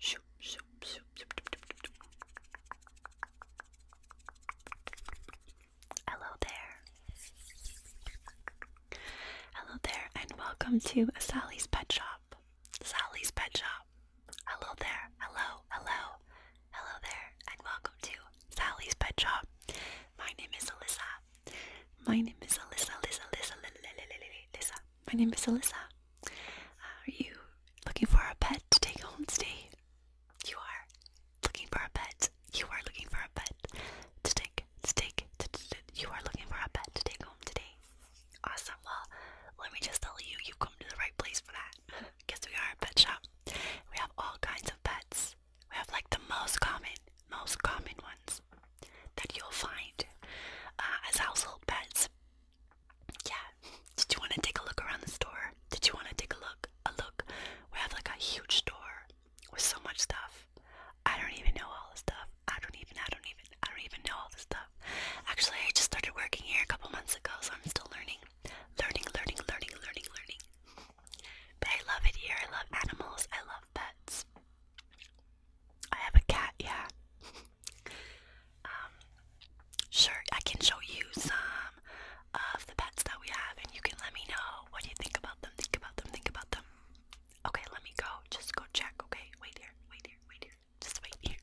Shoop, shoop, shoop, shoop, shoop, shoop, shoop, shoop. Hello there. Hello there, and welcome to Sally's Pet Shop. Sally's Pet Shop. Hello there, hello, hello, hello there, and welcome to Sally's Pet Shop. My name is Alyssa. My name is Alyssa, Alyssa, Alyssa, Alyssa. My name is Alyssa. Are you looking for a pet to take home today? You are looking for a pet. You are looking for a pet to take, to take, to, to, to, you are looking for a pet to take home today. Awesome. Well, let me just tell you, you've come to the right place for that. Guess we are a pet shop. We have all kinds of pets. We have like the most common, most common ones that you'll find uh, as household pets. Yeah. Did you want to take a look around the store? Did you want to take a look? A look. We have like a huge store with so much stuff. I don't even know all the stuff. I don't even, I don't even, I don't even know all the stuff. Actually, I just started working here a couple months ago, so I'm still learning, learning, learning, learning, learning, learning. But I love it here. I love animals. I love pets. I have a cat, yeah. um, sure, I can show you some of the pets that we have, and you can let me know what you think about them. Think about them. Think about them. Okay, let me go. Just go check. Okay, wait here. Wait here. Wait here. Just wait here.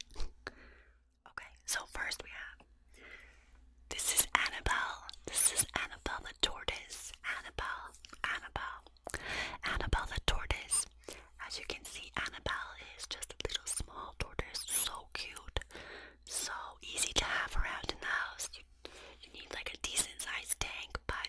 okay, so first we have this is Annabelle. This is Annabelle the tortoise. Annabelle. Annabelle. Annabelle the tortoise. As you can see, Annabelle is just a little small tortoise. So cute. So easy to have around in the house. You you need like a decent sized tank, but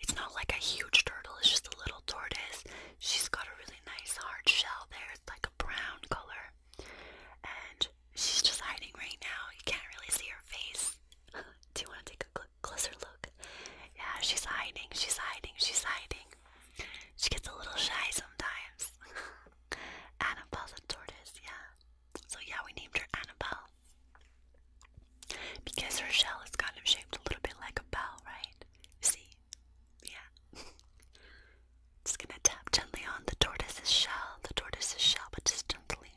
it's not like a huge turtle, it's just a little tortoise. She's got a really nice hard shell there, it's like a brown color. And she's just hiding right now. You can't really see her face. Do you want to take a closer look? Yeah, she's hiding, she's hiding, she's hiding. She gets a little shy sometimes. Annabelle's tortoise, yeah. So yeah, we named her Annabelle. Because her shell is kind of shaped a little bit like a bell, right? See? Yeah. just gonna tap gently on the tortoise's shell, the tortoise's shell, but just gently.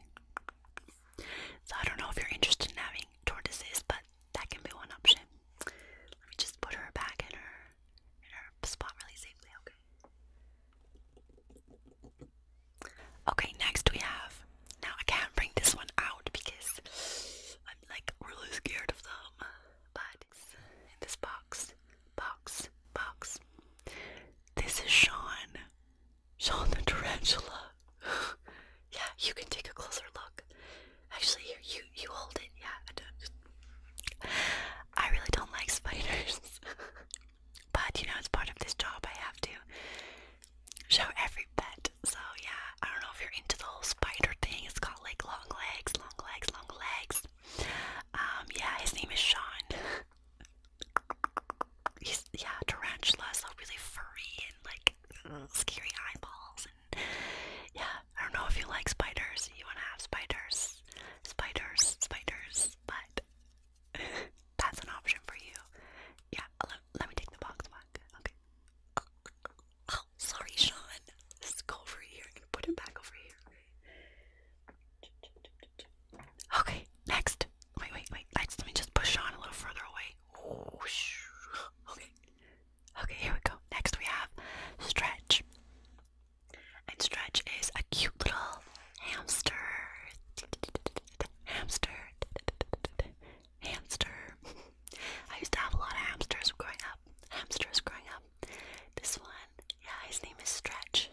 So I don't know if you're interested in having tortoises, but that can be one option. Let me just put her back in her in her spot really safely, okay? Okay, next we have. Now I can't bring this one out because I'm like really scared of them. But it's in this box, box, box. This is Sean, Sean the tarantula. yeah, you can take a closer look. Actually, here you you hold it. Yeah, I don't. I really don't like spiders. But you know, it's part of this job. I have to show every pet. So yeah, I don't know if you're into the whole spider thing. It's got like long legs, long legs, long legs. Um, yeah, his name is Sean. He's yeah, tarantula, so really furry and like scary eyeballs and yeah, I don't know if you like spiders. You wanna have spiders, spiders, spiders, but that's an option for you. Yeah, let, let me take the box back. Okay. Oh, sorry, Sean. Let's go over here put him back over here. Okay, next. Wait, wait, wait. Next, let me just push Sean a little further away. Okay. Okay, here we go. Next, we have stretch. And Stretch is a cute little hamster. Hamster. Hamster. I used to have a lot of hamsters growing up. Hamsters growing up. This one, yeah, his name is Stretch.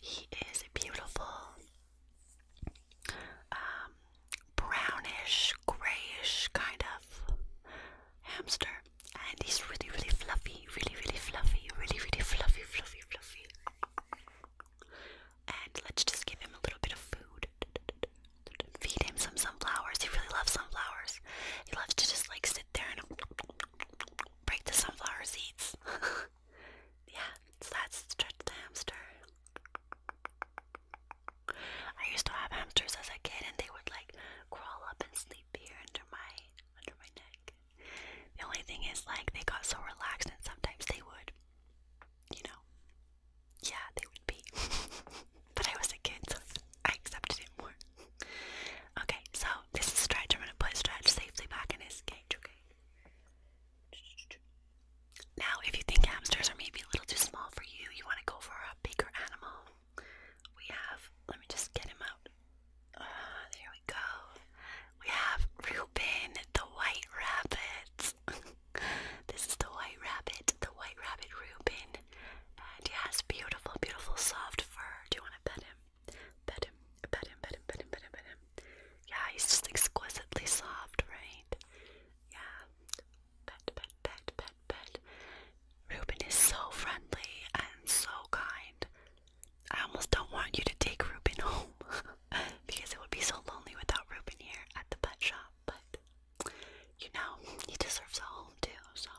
He is a beautiful, um, brownish, grayish kind of hamster and he's really, really fluffy, really, really fluffy, really, really fluffy, fluffy, fluffy. And let's just give him a little bit of food. Feed him some sunflowers. He really loves sunflowers. He loves to just like sit there and break the sunflower seeds. yeah, so that's Stretch the hamster. I used to have hamsters as a kid, and they would like crawl up and sleep here under my under my neck. The only thing is, like, they got so relaxed, and sometimes they would, you know, yeah, they would be. but I was a kid, so I accepted it more. okay, so this is Stretch. I'm gonna put Stretch safely back in his cage, okay? Now, if you think hamsters are maybe a little too small for you, you want to go for a bigger animal we have, let me just get him out. Uh, there we go. We have Reuben, the white rabbit. this is the white rabbit, the white rabbit Reuben. And he has beautiful, beautiful soft fur. Do you want to pet him? Pet him, pet him, pet him, pet him, pet him, pet him. Yeah, he's just exquisitely soft, right? Yeah. Pet, pet, pet, pet, pet. Reuben is so friendly and so kind. I almost don't want you to take Reuben home because it would be so lonely without Reuben here at the pet shop. But you know, he deserves a home too. So,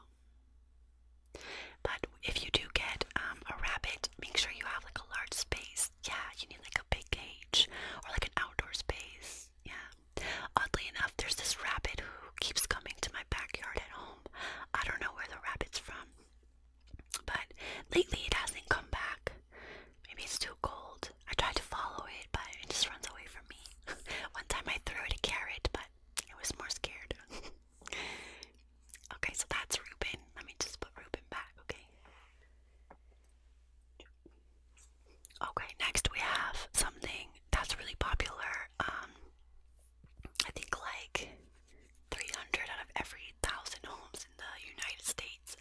but if you do get um, a rabbit, make sure you have like a large space. Yeah, you need like a big cage or like an outdoor space. Yeah. Oddly enough, there's this rabbit who keeps coming to my backyard at home. I don't know where the rabbit's from. But lately it hasn't come back. Maybe it's too cold. I tried to follow it, but it just runs away from me. One time I threw it a carrot, but it was more scared. okay, so that's Reuben. Let me just put Reuben back, okay? Okay, next we have something that's really popular. Um, I think like 300 out of every thousand homes in the United States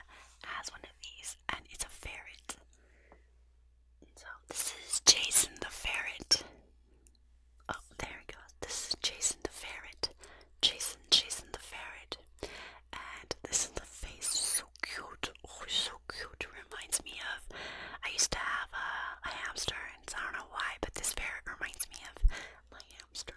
has one of these, and it's a ferret. So this is Jason the ferret. Oh, there it goes. This is Jason the ferret. Jason, Jason the ferret. And this is the face, so cute. Oh, so cute. reminds me of I used to have a hamster, friends. I don't know why, but this ferret reminds me of my hamster.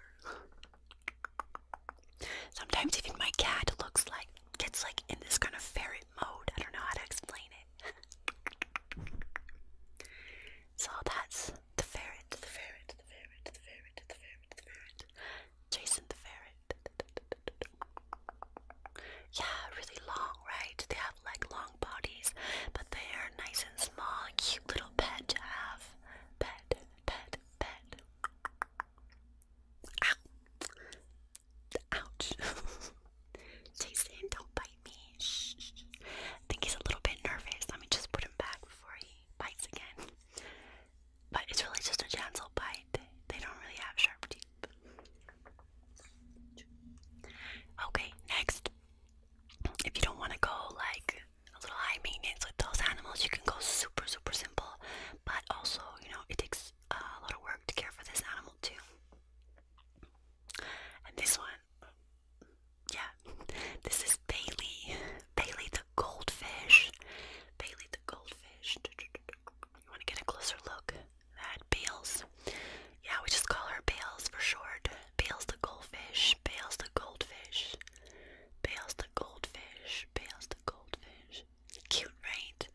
Sometimes even my cat looks like gets like in this kind of ferret mode. I don't know how to explain it. so that's the ferret, the ferret, the ferret, the ferret, the ferret, the ferret. Jason the ferret. Yeah, really long, right? They like long bodies, but they are nice and small, cute little pet to have. Pet, pet, pet. Ow. Ouch. Jason, don't bite me. shh. I think he's a little bit nervous. Let me just put him back before he bites again. But it's really just a gentle bite. They don't really have sharp teeth. Okay, next. If you don't want to go like a little high maintenance with those animals, you can go super, super simple. But also, you know, it takes a lot of work to care for this animal too. And this one, yeah, this is Bailey. Bailey the goldfish. Bailey the goldfish. You want to get a closer look? Mad Bales. Yeah, we just call her Bales for short. Bales the goldfish, Bales the goldfish, Bales the goldfish, Bales the goldfish. Cute, right?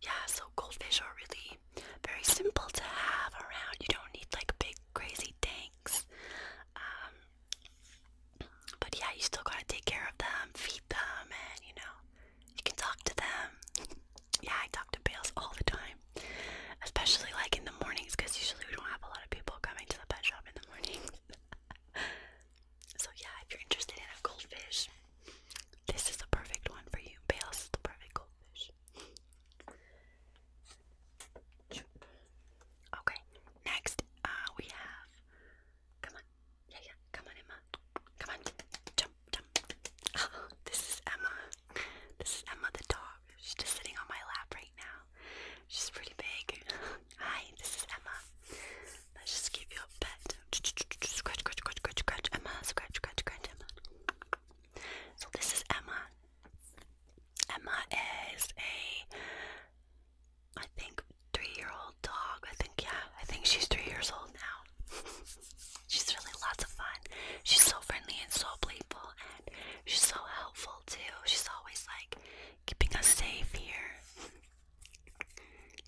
Yeah, so goldfish are really very simple to have around. You don't need like big crazy tanks. Um, but yeah, you still gotta take care of them, feed them, and you know, you can talk to them yeah, I talk to Bales all the time, especially like in the mornings because usually we don't have a lot of people coming to the pet shop in the morning. so, yeah, if you're interested in a goldfish, this is the perfect one for you. Bales is the perfect goldfish. Okay, next uh, we have. Come on, yeah, yeah, come on, Emma. Come on, this is Emma. This is Emma the dog. She's just sitting on my lap right now. She's pretty big. Hi, this is Emma. Let's just give you a pet. Scratch, scratch, scratch, scratch, scratch, Emma. Scratch, scratch, scratch, Emma. So this is Emma. Emma is a, I think, three-year-old dog. I think, yeah, I think she's three years old now. She's really lots of fun. She's so friendly and so playful, and she's so helpful too. She's always like keeping us safe here.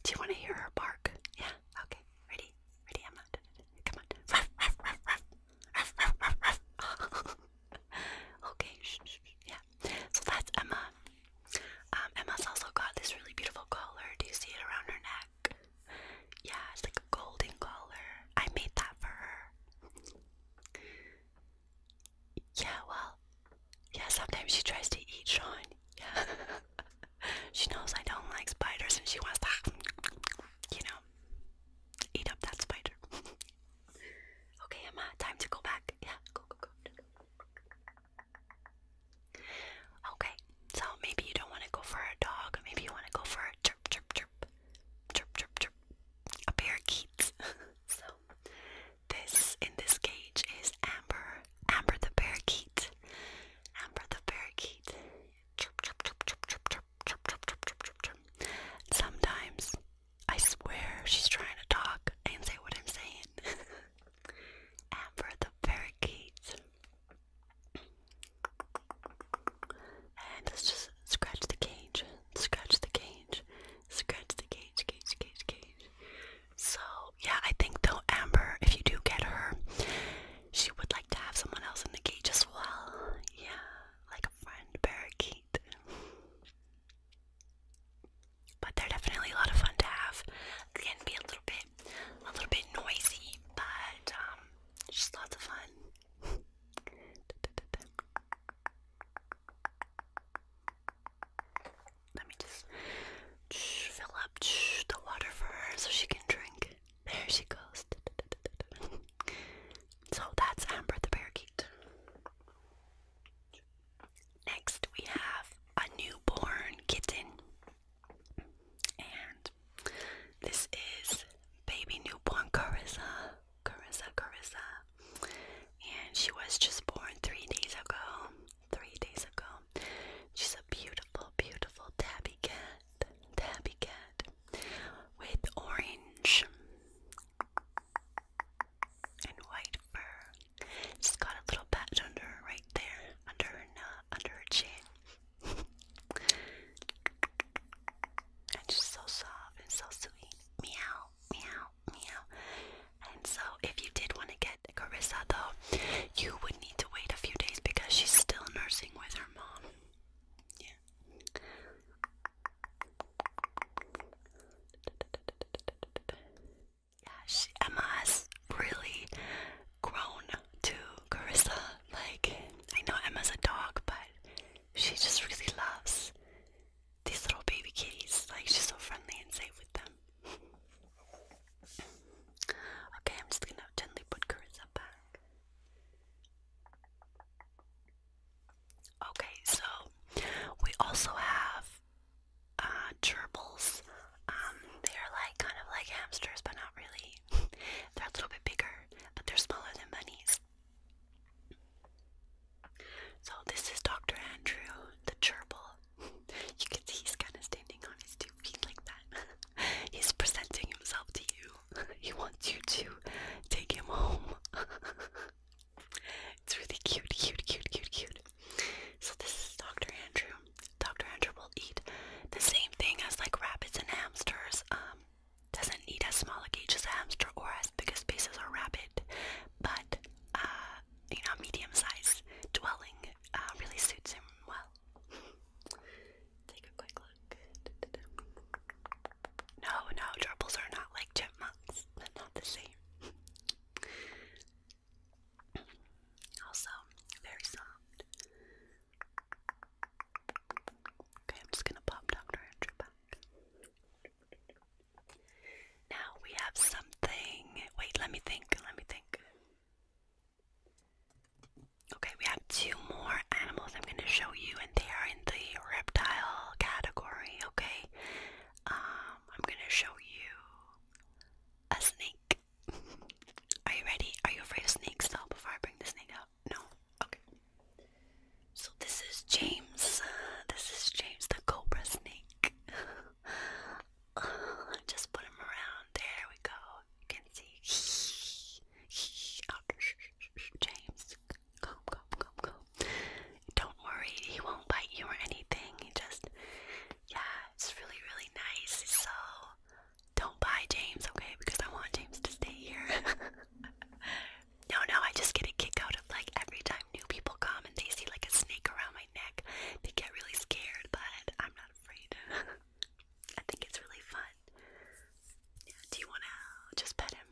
Do you want to hear her bark? Yeah. Okay. Ready? Ready, Emma? Come on. okay. Yeah. So that's Emma. Um, Emma's also got this really beautiful collar. Do you see it around her neck? Yeah, it's like a golden color. I made that for her. Yeah, well, yeah, sometimes she tries to eat Sean. Yeah. she knows I don't like spiders and she wants to, you know, eat up that spider. okay, Emma, time to go back. Yeah, go, go, go. Okay, so maybe you don't want to go for a dog, maybe you want to go for a chirp, chirp, chirp, chirp, chirp, chirp, a parakeet. so, this in this cage is Amber, Amber the parakeet, Amber the parakeet. Chirp, chirp, chirp, chirp, chirp, chirp, chirp, chirp, chirp, chirp, chirp, Sometimes I swear she's trying to talk and say what I'm saying. Amber the parakeet. And let's just scratch the cage, scratch the cage, scratch the cage, cage, cage, cage. So, yeah, I think though, Amber, if you do get her, she would like to have someone else in the cage as well. Yeah, like a friend parakeet. But they're definitely a lot of fun to have. can be a little bit a little bit noisy, but um, just lots of fun. Let me just fill up the water for her so she can drink. There she goes. so that's Amber the parakeet. Next, we have a newborn kitten. And this is baby newborn Carissa. Carissa, Carissa. And she was just born three days ago. Three days ago. She's a beautiful, beautiful tabby cat. Tabby cat. With orange and white fur. She's got a little patch under her right there under her under her chin. and she's so soft and so sweet. Meow, meow, meow. And so if you did want to get Carissa though, you would need to wait a few days because she's still nursing with her mom. Yeah yeah, she, Emma's really grown to Carissa. Like, I know Emma's a dog, but she just really loves these little baby kitties. Like, she's so friendly and safe with them. okay, I'm just gonna gently put Carissa back. Okay, so we also have uh, gerbils. Um, they're like kind of like hamsters, but not really. they're a little bit bigger, but they're smaller than bunnies. So this is Dr. Andrew, the gerbil. you can see he's kind of standing on his two feet like that. he's presenting himself to you. he wants you to take him home. it's really cute, cute, cute, cute, cute. So this is Dr. Andrew. Dr. Andrew will eat the same thing as like rabbits and hamsters. Um, doesn't need as small a cage as a hamster or as big a space as a rabbit, but uh, you know, medium-sized dwelling uh, really suits him well. Take a quick look. No, no, gerbils are not like chipmunks. They're not the same. Also, very soft. Okay, I'm just gonna pop Dr. Andrew back. Now we have something. Wait, let me think. Let me think. Okay, we have two more animals I'm going to show you, and they are in the reptile category. Okay, um, I'm going to show you a snake. Are you ready? Are you afraid of snakes now before I bring this thing out? No? Okay. So this is James. Uh, this is James the cobra snake. Uh, just put him around. There we go. You can see. James, come, come, come, come. Don't worry, he won't bite you or anything. He just yeah, it's really, really nice. So don't buy James, okay? Because I want James to stay here. no, no, I just get a kick out of like every time new people come and they see like a snake around my neck, they get really scared, but I'm not afraid. I think it's really fun. Yeah, do you want to just pet him?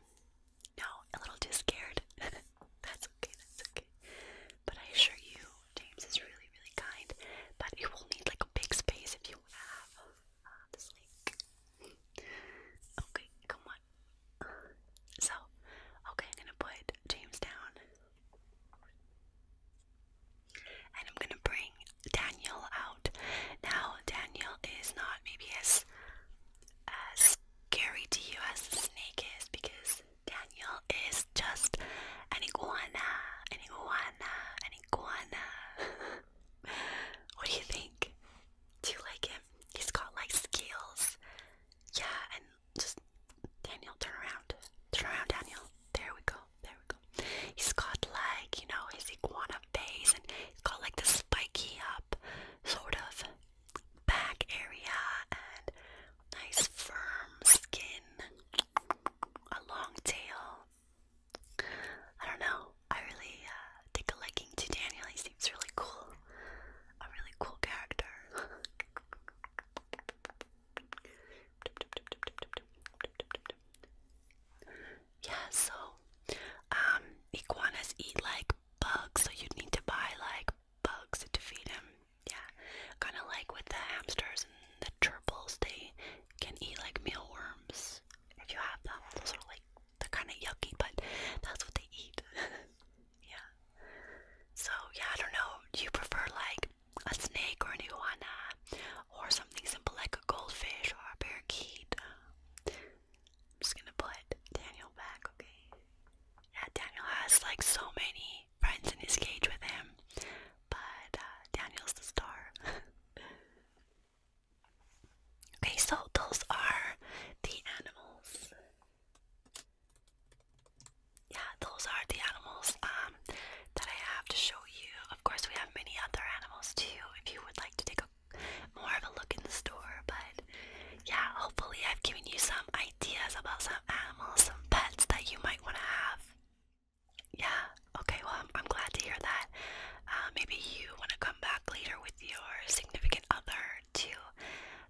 No, a little too scared. That's okay, that's okay. But I assure you, James is really, really kind. But you will need like a big space if you have uh, this okay, come on. So, okay, I'm gonna put James down. And I'm gonna bring Daniel out. Now, Daniel is not maybe as as scary to you as the snake is because Daniel is just an iguana, an iguana, an iguana. what do you think? Do you like him? He's got like scales. Yeah, and just Daniel, turn around. Turn around, Daniel. There we go. There we go. He's got like, you know, his iguana face and he's got like the spiky up sort of, back area and nice firm skin, a long tail. I don't know. I really uh, take a liking to Daniel. He seems really cool. A really cool character. yeah, so um, iguanas eat like bugs, so you'd need to buy like bugs to feed him. Yeah, kind of like with the hamsters and the gerbils, they can eat like mealworms if you have Those are like they kind of yucky, but that's what they eat. yeah. So yeah, I don't know. Do you prefer like a snake or an iguana, or something simple like a goldfish or a parakeet? I'm just gonna put Daniel back, okay? Yeah, Daniel has like so many friends in his cage with him, but uh, Daniel's the star. okay, so those are the animals. Yeah, those are the animals um, that I have to show you. Of course, we have many other animals too if you would like to take a more of a look in the store, but yeah, hopefully, I've given you some ideas about some animals, some pets that you might want to have. Yeah, okay, well, I'm, glad to hear that. Uh, maybe you want to come back later with your significant other to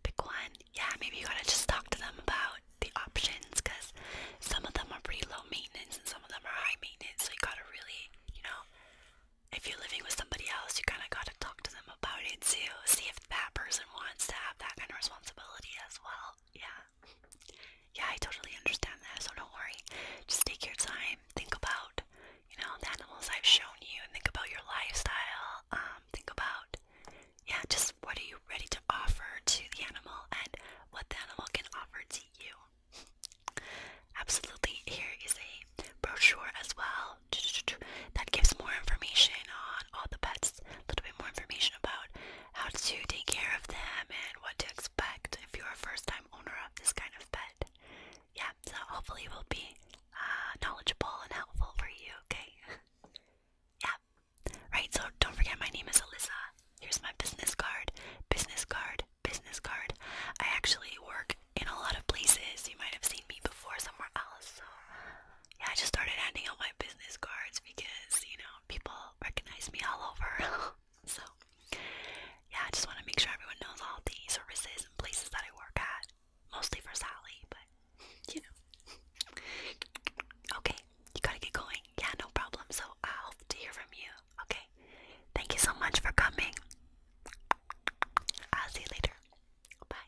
pick one. Yeah, maybe you gotta just talk to them about the options because some of them are pretty low maintenance and some of them are high maintenance, so you gotta really, you know. If you're living with somebody else, you kind of got to talk to them about it too. See if that person wants to have that kind of responsibility as well. Yeah. Yeah, I totally understand that, so don't worry. Just take your time. Think about, you know, the animals I've shown you and think about your lifestyle. Um, think about yeah, just what are you ready to offer to the animal and what the animal can offer to you. Absolutely. Here is a brochure as well that gives more information on all the pets, a little bit more information about how to take care of them and what to expect if you're a first time owner of this kind of pet. Yeah, so hopefully we will be uh, knowledgeable and helpful for you, okay? yeah. Right, so don't forget my name is Alyssa. Here's my business card. Business card. Business card. I actually work in a lot of places. You might have seen me before somewhere else. So yeah, I just started handing out my business cards because you know people recognize me all over. so yeah, I just want to make sure everyone knows all the services and places that I work at. Mostly for Sally, but you know. okay, you gotta get going. Yeah, no problem. So I hope to hear from you. Okay. Thank you so much for coming. I'll see you later. Bye.